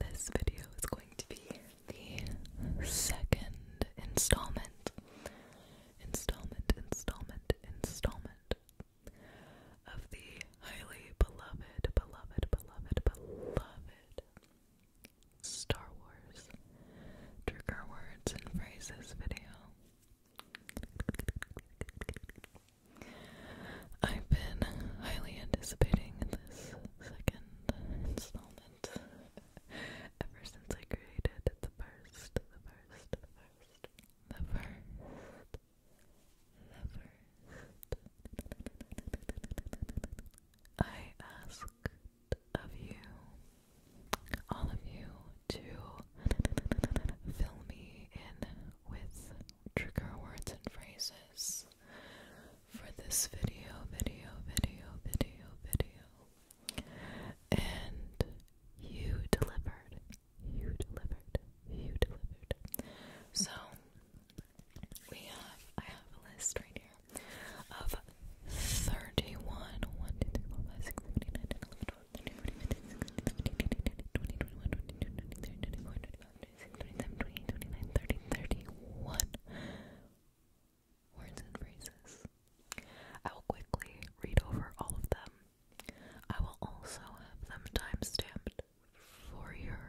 This video is going to be the second installment, installment, installment, installment of the highly beloved, beloved, beloved, beloved Star Wars trigger words and phrases video. I've been highly anticipating this second installment ever since I created the first, the first, the first, the first, the first. I asked of you, all of you, to fill me in with trigger words and phrases for this video, video, video, video, video. And you delivered. You delivered. You delivered. So we have I have a list right here of 31 1 26, words and phrases. I will quickly read over all of them. I will also have them timestamped for your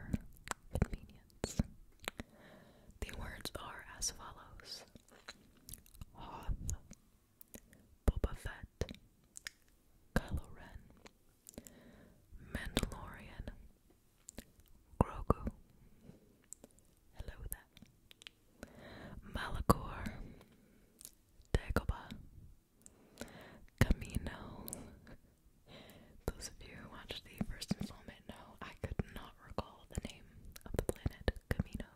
convenience. The words are as follows Hoth, Boba Fett, Kylo Ren, Mandalorian, Grogu, hello there, Malachor, Dagobah, Camino. Those of you who watched the first installment know I could not recall the name of the planet Camino.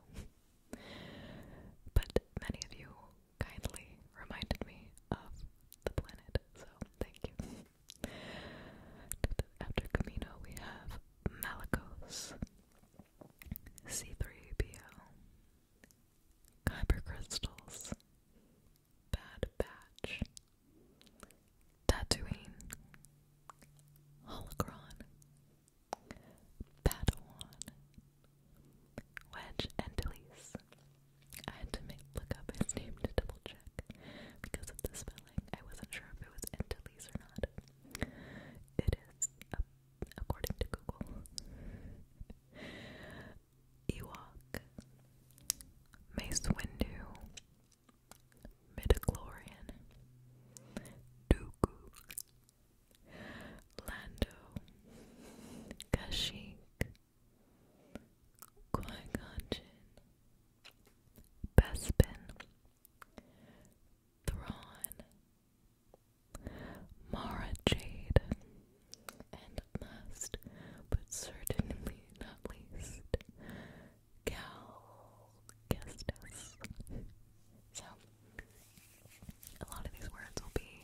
But many of you kindly reminded me of the planet so thank you. After Camino, we have Malakos, C3PO, Kyber Crystals, Bad Batch, Tatooine, Holocron, Padawan, Wedge Antilles, I had to make, look up his name to double check because of the spelling. I wasn't sure if it was Antilles or not. It is, according to Google. Ewok, Mace Windu, Midichlorian, Dooku, Lando, Kashyyyk, qui Bespin, Thrawn, Mara Jade, and last but certainly not least, Cal So, a lot of these words will be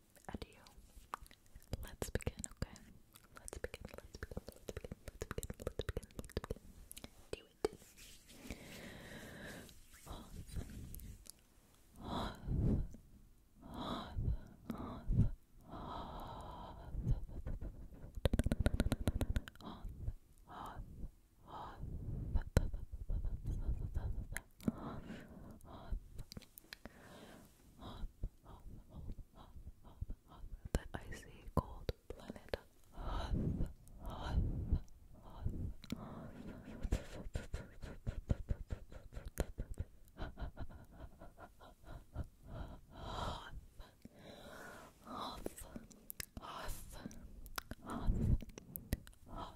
adieu. Let's begin, okay? Let's begin, let's begin, let's begin, let's begin, let's begin, let's begin. Do it. Hoth. Hoth. Hoth. Hoth. Hoth. Hoth. Hoth. Hoth. Hoth. Hop, hop, hop, hop, hop, the icy cold planet. Hop, hop, hop, hop. Off, off, off, off,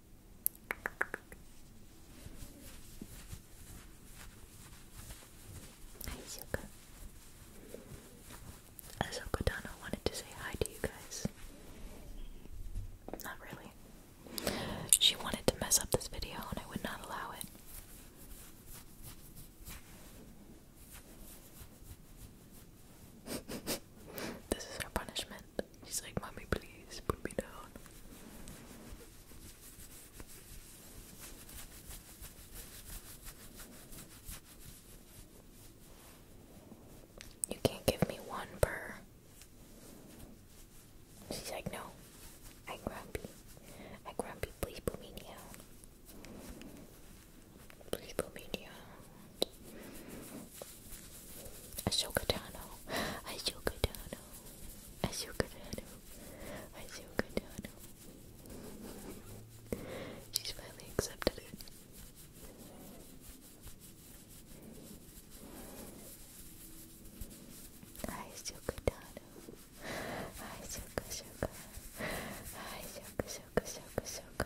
Hi Zuka. Donna wanted to say hi to you guys. Not really. She wanted to mess up this video and I would not allow it. this is her punishment. She's like, Mommy, please put me down. You can't give me one per. She's like, I grumpy. I grumpy, please put me down. Please put me down. Ashoka Tano, Ashoka Tano, Ashoka Tano, Ashoka Tano. She's finally accepted it. Ashoka Tano, Ashoka Shoka, Ashoka Shoka Shoka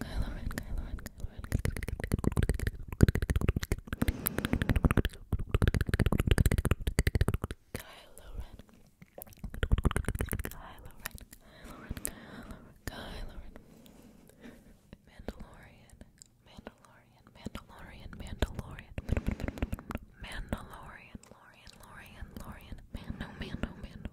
Kylo Ren, Kylo Ren, Kylo Ren, Kylo Ren, Kylo Ren, Kylo Ren, Mandalorian, Mandalorian, Mandalorian, Mandalorian, Mandalorian, Mandalorian, Mandalorian, Mandalorian, Mandalorian, Mandalorian, Mandalorian, Mandalorian, Mandalorian, Mandalorian,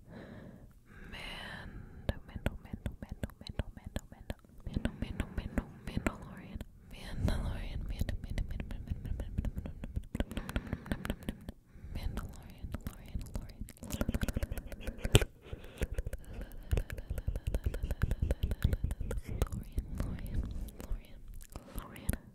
Mando, Mando, Mando, Mando, Mando, Mando, Mando, Mando, Mando, Mando, Mandalorian, Mandalorian, Mando, Mando, Mando, Mando, Mando, Mando, Mandalorian, Lorian, Lorian, Lorian, Lorian, Lorian,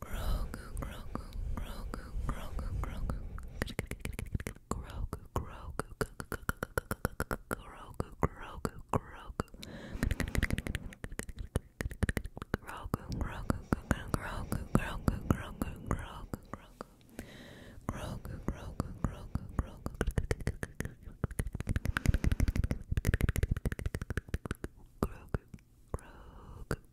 Grogu, Grogu, Grogu, Grogu, Grogu, Grogu, Grogu, Grogu, Grogu, Grogu. Grogu, Grogu, Grogu, Grogu, Grogu, Grogu, Grogu. Grogu, Grogu, Grogu, Grogu. Grogu, Grogu,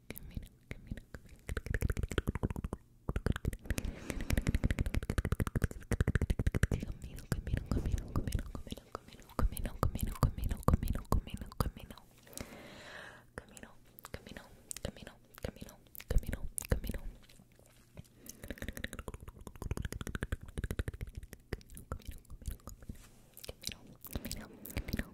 camino, camino, camino, camino, camino, camino, camino Camino, camino, camino, camino, camino, camino. Camino, camino, camino, camino, camino, camino. Camino, camino, camino, camino, camino, camino,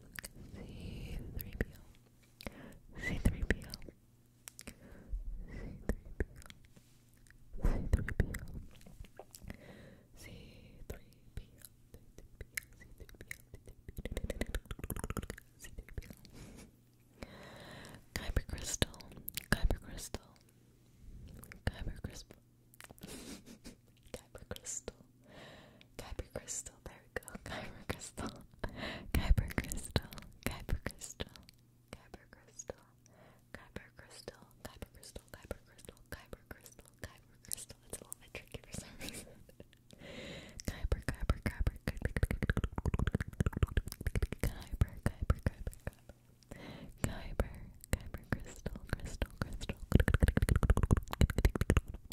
C3PO. C3PO. 3 po 3 po 3 po Kyber crystal, Kyber crystal, Kyber crystal. Kyber crystal. Kyber crystal. There we go. Kyber crystal. Kyber crystal. Kyber crystal. Kyber crystal. Kyber crystal. Kyber crystal. Kyber crystal. Kyber crystal. crystal. It's a little bit tricky for some reason. Kyber, Kyber, Kyber, Kyber, Kyber, Kyber, Kyber, Kyber, Kyber crystal, crystal, crystal.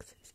Axis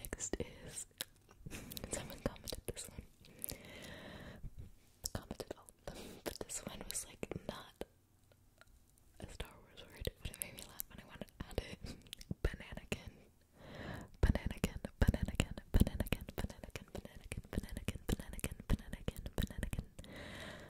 Next is someone commented this one. Commented all of them, this one was like not a Star Wars word, it made me laugh and I wanted to add it. Bananakin. Bananakin, bananakin, bananakin, bananakin, bananakin, bananakin, bananakin, bananakin, bananakin,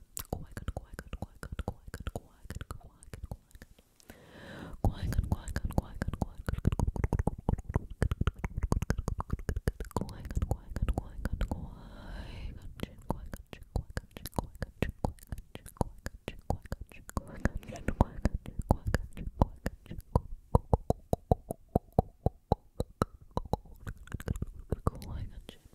Qui-Gon, Qui-Gon, Qui-Gon, Qui-Gon, Qui-Gon, Qui-Gon, Qui-Gon, Qui-Gon, Qui-Gon, Qui-Gon, Qui-Gon,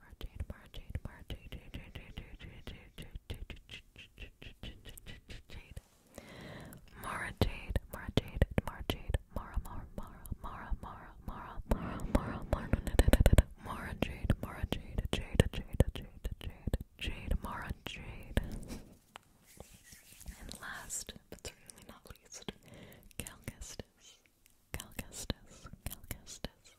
and last, but certainly not least, Calcastus. Calcastus, Calcastus,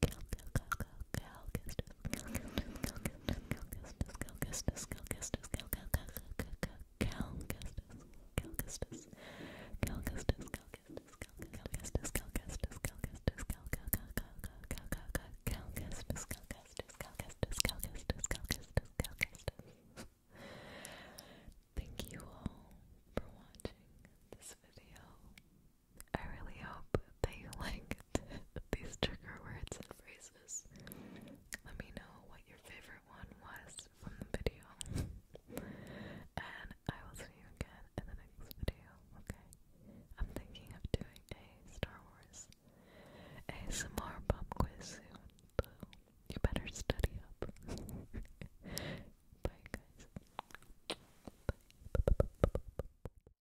Thank you all for watching this video. I really hope that you liked these trigger words and phrases. Let me know what your favorite one was from the video. and I will see you again in the next video, okay? I'm thinking of doing a Star Wars ASMR pop quiz soon, so you better study up. Bye, guys. Bye.